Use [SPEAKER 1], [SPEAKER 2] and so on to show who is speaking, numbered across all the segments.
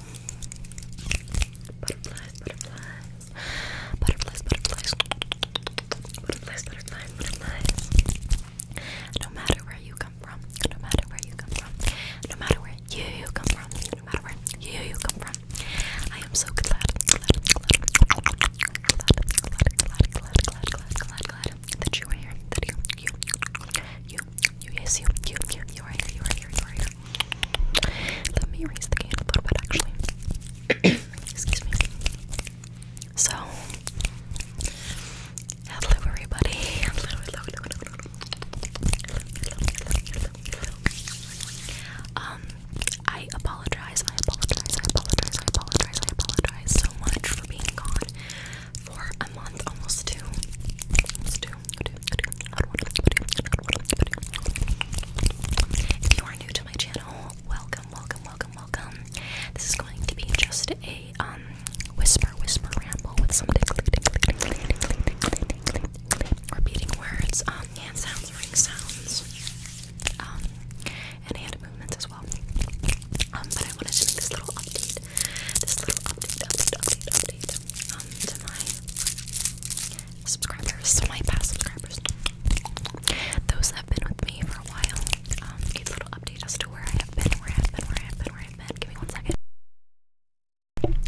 [SPEAKER 1] Butterflies, butterflies. Butterflies, butterflies. Butterflies, butterflies, butterflies. No matter where you come from, no matter where you come from, no matter where you, you come from, no matter where you, you come from. I am so glad, glad, glad, glad, glad, glad, glad, glad, glad, glad, glad, glad that you are here, that you, you, you, you, yes, you, you, cute you are here, you are here, you are here. Let me erase the candle a little bit, actually. Excuse me. So, hello everybody. Um, I apologize. I apologize. I apologize. I apologize. I apologize so much for being gone for a month, almost two, almost two. If you are new to my channel, welcome, welcome, welcome, welcome. This is going to be just a um whisper, whisper ramble with some repeating words, um, hand sounds, ring sounds, um, and hand movements as well. Um, but I wanted to make this little update this little update, update, update, update um, to my subscribers, so my past subscribers, those that have been with me for a while. Um, a little update as to where I have been, where I have been, where I have been, where I have been. Give me one second.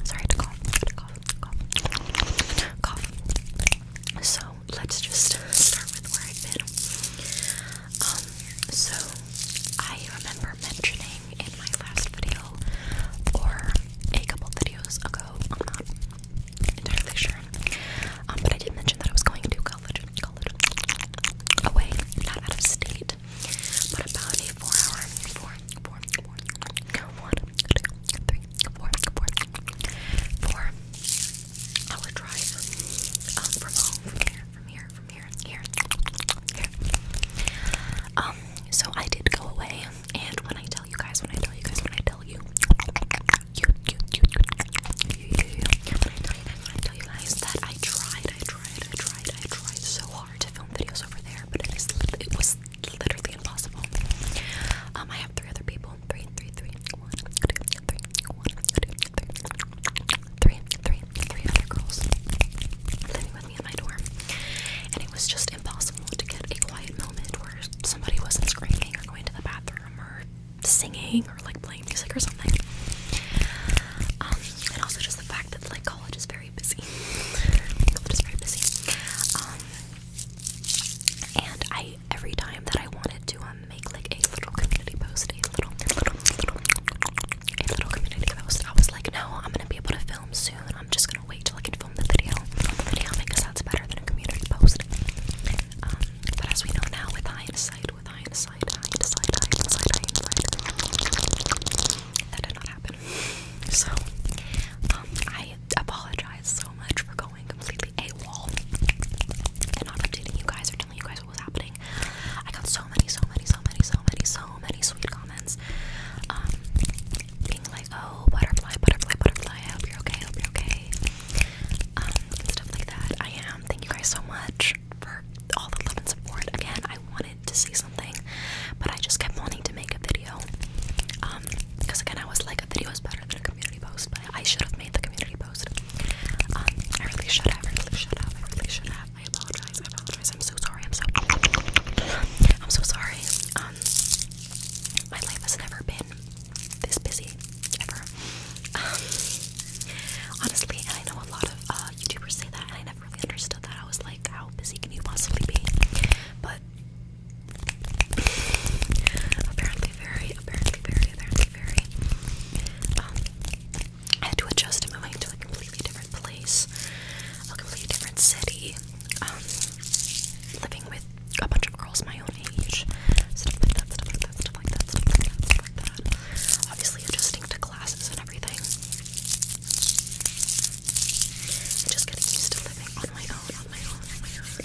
[SPEAKER 1] Sorry cough, cough, cough, cough. So let's just start with where I've been. Um, so I remember mentioning in my last video or a couple videos ago, I'm not entirely sure. Um, but I did mention that I was going to college college away, not out of state, but about a four hour four four four one two three four four four hour drive um, from home from here from here from here, here, here. Um, so I did go away, and when I tell you guys, when I tell you guys, when I tell you, you, you, you, you, you, you, when I tell you guys, when I tell you guys that I tried, I tried, I tried, I tried so hard to film videos over there, but it is, it was literally impossible. Um, I have three other people, three, three, three, one, two, three, one, two, three three, three, three other girls living with me in my dorm, and it was just impossible to get a quiet moment where somebody wasn't screaming or going to the bathroom or singing or like playing music or something. Um, and also just the fact that like college is very busy. college is very busy. Um, and I every time that I wanted to um, make like a little community post just a little, community post. I was like, no, I'm gonna be able to film soon. I'm just gonna wait till I can film the video, the video because that's better than a community post. Um, but as we know now, with hindsight, with hindsight, hindsight, hindsight, hindsight, that did not happen. So, um, I apologize so much for going completely AWOL and not updating you guys or telling you guys what was happening. I got so many, so many, so many, so many, so many sweet comments. Um, being like, oh, butterfly, butterfly, butterfly. I hope you're okay. I hope you're okay. Um, stuff like that. I am. Thank you guys so much for all the love and support. Again, I wanted to say something, but I just kept wanting to make a video. Um, because again, I was like, a video is better than a community post, but I should have made the community post. Um, I really should have. I really should have. I really should have. I apologize. I apologize. I'm so sorry. I'm so I'm so sorry. Um, my life has never been this busy ever. Um, honestly, I know a lot of uh, YouTubers say that and I never really understood that. I was like, how busy can you possibly be? But apparently very, apparently very, apparently very um, I had to adjust in my mind to a completely different place, a completely different city, um, living with a bunch of girls my own age, stuff like that, stuff like that, stuff like that, stuff like that, Obviously, adjusting to classes and everything. I'm just getting used to living on my own, on my own, on my own.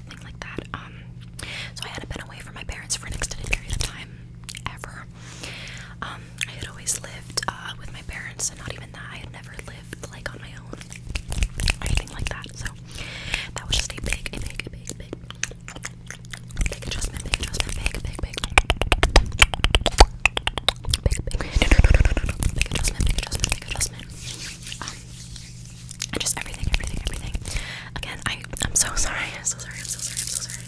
[SPEAKER 1] anything like that. Um, so I hadn't been away from my parents for an extended period of time ever. Um, I had always lived uh, with my parents, and not even that. I had never lived like on my own anything like that. So that was just a big, big, big, big, adjustment, adjustment, adjustment, adjustment, adjustment just everything, everything, everything. Again, I I'm so sorry. I'm so sorry. I'm so sorry. I'm so sorry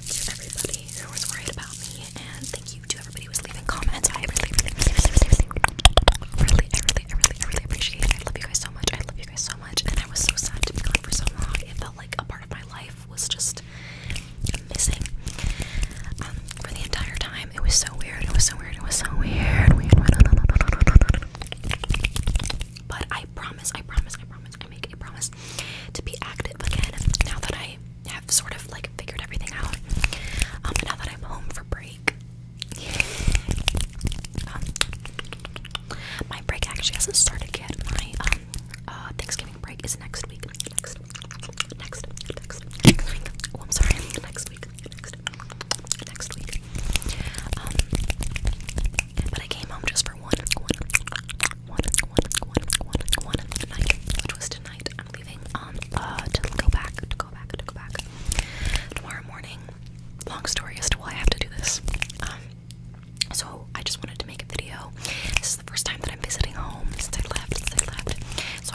[SPEAKER 1] to everybody who was worried about me, and thank you to everybody who was leaving comments. I really, really, really, really, really, really, I really, really, really appreciate it. I love you guys so much. I love you guys so much, and I was so sad to be gone for so long. It felt like a part of my life was just missing. Um, for the entire time, it was so weird. It was so weird. It was so weird. But I promise, I promise, I promise, I make a promise to be active again now that I have sort of like figured everything out. Um, now that I'm home for break. Um, my break actually hasn't started yet. My um, uh, Thanksgiving break is next week. Next, next, Oh, I'm sorry. Next, week, next, week. Um, but I came home just for one, one, one, one, one, one, one night, which was tonight. I'm leaving um uh to go back, to go back, to go back tomorrow morning. Long story as to why I have to do this. Um, so I just wanted to make a video. This is the first time that I'm visiting home since I left. Since I left, so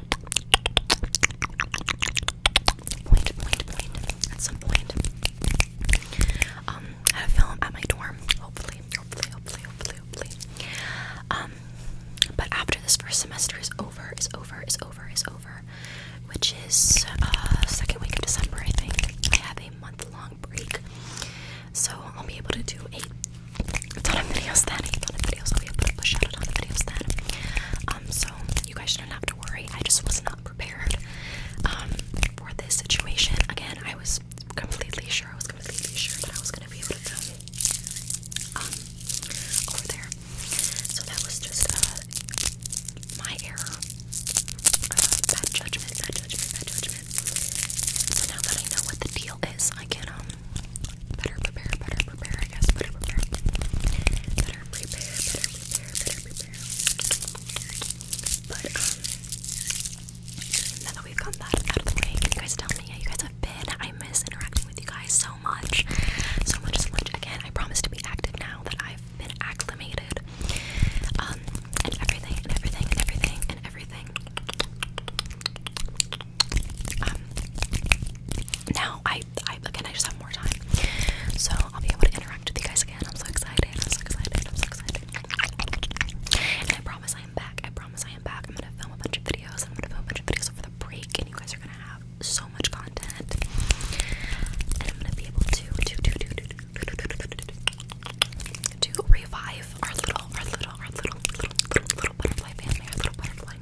[SPEAKER 1] Point, point, point. At some point, um, I have a film at my dorm. Hopefully, hopefully, hopefully, hopefully, hopefully. Um, but after this first semester is over, is over, is over, is over, which is uh second week of December, I think. I have a month-long break, so I'll be able to do a on a video stand. It's video, I'll be able to push out it video stand. Um, so you guys shouldn't have to worry. I just was not prepared um for this situation. Again, I was completely sure. I was completely sure that I was gonna be able to film um over there. So that was just uh my error. Uh, bad judgment, bad judgment, bad judgment. So now that I know what the deal is, I can um Better prepare, better prepare, I guess. Better prepare. Better prepare, better prepare, better prepare. But, um, now that we've gotten that out of the way, can you guys tell me how you guys have been? I miss interacting with you guys so much. So much, so much. Again, I promise to be active now that I've been acclimated. Um, and everything, and everything, and everything, and everything. Um, now I, I again I just have more time, so I'll be able to interact with you guys again. I'm so excited! I'm so excited! I'm so excited! And I promise I am back. I promise I am back. I'm gonna film a bunch of videos. I'm gonna film a bunch of videos over the break, and you guys are gonna have so much content. And I'm gonna be able to to to to to to, to, to, to, to, to revive our little, our little, our little, little, little, little butterfly family. Our little butterfly.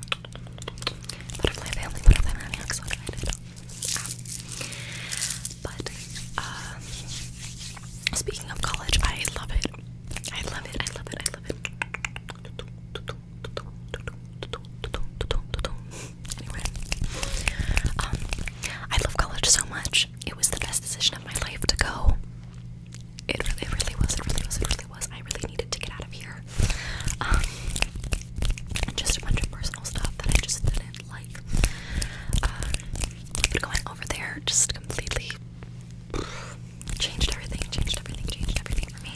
[SPEAKER 1] Butterfly butterfly family. excited. Ah. but, uh, speaking of college, I love it. I love it. I love it. I love it. Anyway, um, I love college so much. It was the best decision of my life to go. It really, really was. It really was. It really was. I really needed to get out of here. Um, just a bunch of personal stuff that I just didn't like. Um, going over there just completely changed everything. Changed everything. Changed everything for me.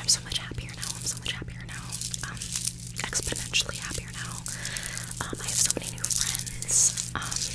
[SPEAKER 1] I'm so much happier now. I'm so much happier now. Um, exponentially happier now. I have so many new friends.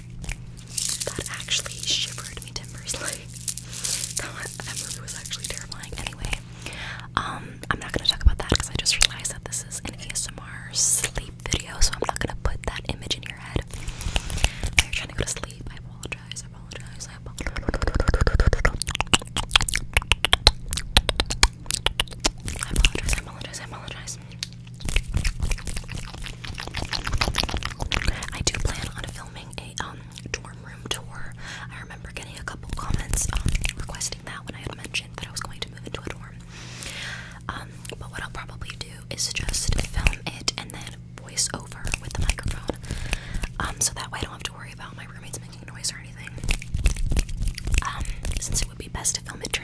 [SPEAKER 1] That actually shivered me timbers. Like that, movie was actually terrifying. Anyway, um, I'm not gonna talk about that because I just realized that this is an ASMR sleep video, so I'm not gonna put that image in your head. If you're trying to go to sleep, I apologize. I apologize. I apologize. I do plan on filming a um dorm room tour. I remember getting a couple comments um, requesting that when I had mentioned that I was going to move into a dorm. Um, but what I'll probably do is just film it and then voice over with the microphone. Um, so that way I don't have to worry about my roommates making noise or anything. Um, since it would be best to film it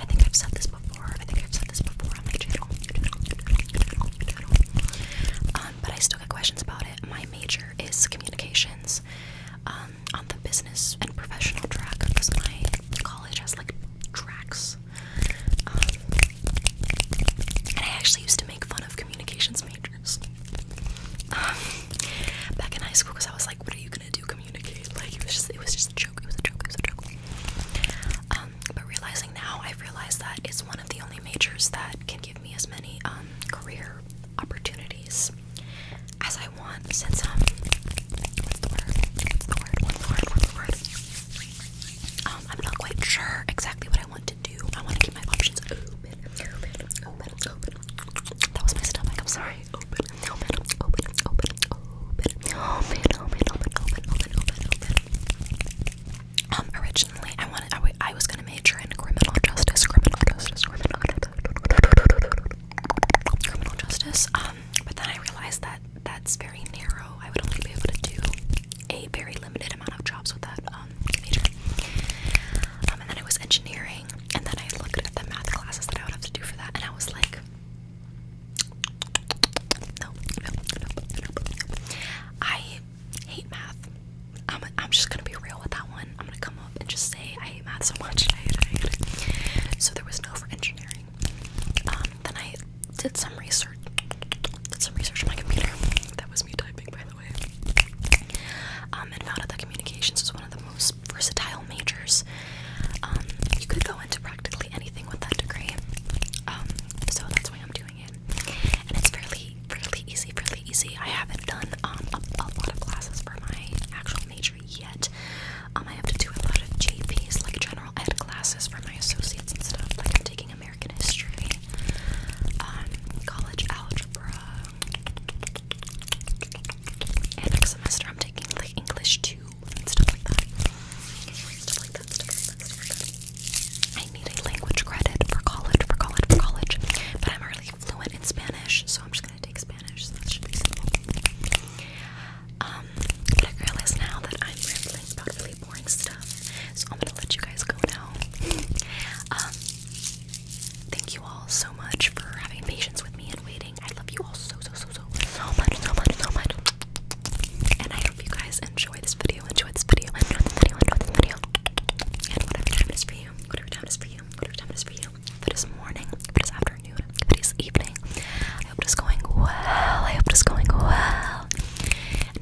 [SPEAKER 1] I think I've said this before. I think I've said this before on my channel. Um, but I still get questions about it. My major is communications um, on the business and professional track because my college has like tracks. Um, and I actually used to make fun of communications major um, back in high school, because I was like, "What are you gonna do? Communicate?" Like it was just, it was just a joke. It was a joke. It was a joke. Um, but realizing now, I've realized that it's one of the only majors that can give me as many um, career opportunities as I want. Since I'm not quite sure exactly what I want to do. I want to keep my options open open, That was my stomach. I'm sorry. Open, open, open, open, open, open, open, originally, I wanted, i was gonna major in criminal justice, criminal justice, criminal justice, criminal justice. Um, but then I realized that that's very narrow. I would only be able to do a very limited amount of jobs with that. Um, um, major. Um, and then it was engineering, and then I looked at the math classes that I would have to do for that, and I was like, no, no, no, no, no. I hate math. I'm, I'm just gonna be real with that one. I'm gonna come up and just say I hate math so much. I hate it, I hate it. So there was no for engineering. Um, then I did some research. Did some research on my computer. That was me typing, by the um, and found out that communications was one of the most versatile majors. Um, you could go into practically anything with that degree, um, so that's why I'm doing it. And it's fairly, fairly easy, fairly easy. I haven't done a, lot of classes for my actual major yet. I have to do a lot of JPs, like general ed classes for my associates and stuff. Like I'm taking American history, college algebra, next semester I'm taking like English 2 stuff like that. Stuff like that, I need a language credit for college, for college, for college. But I'm already fluent in Spanish, so I'm just gonna take Spanish, so that should be simple. Um, but I realize now that I'm rambling about really boring stuff, so I'm gonna let you guys go now. um, Thank you all so much for having patience with me and waiting. I love you all so, so, so, so, so much, so much, so much. And I hope you guys enjoy this video, enjoy this video, enjoy this video, enjoy this video. And whatever time it is for you, whatever time it is for you, whatever time it is for you. If it is morning, if it is afternoon, if it is evening. I hope it is going well. I hope it is going well. And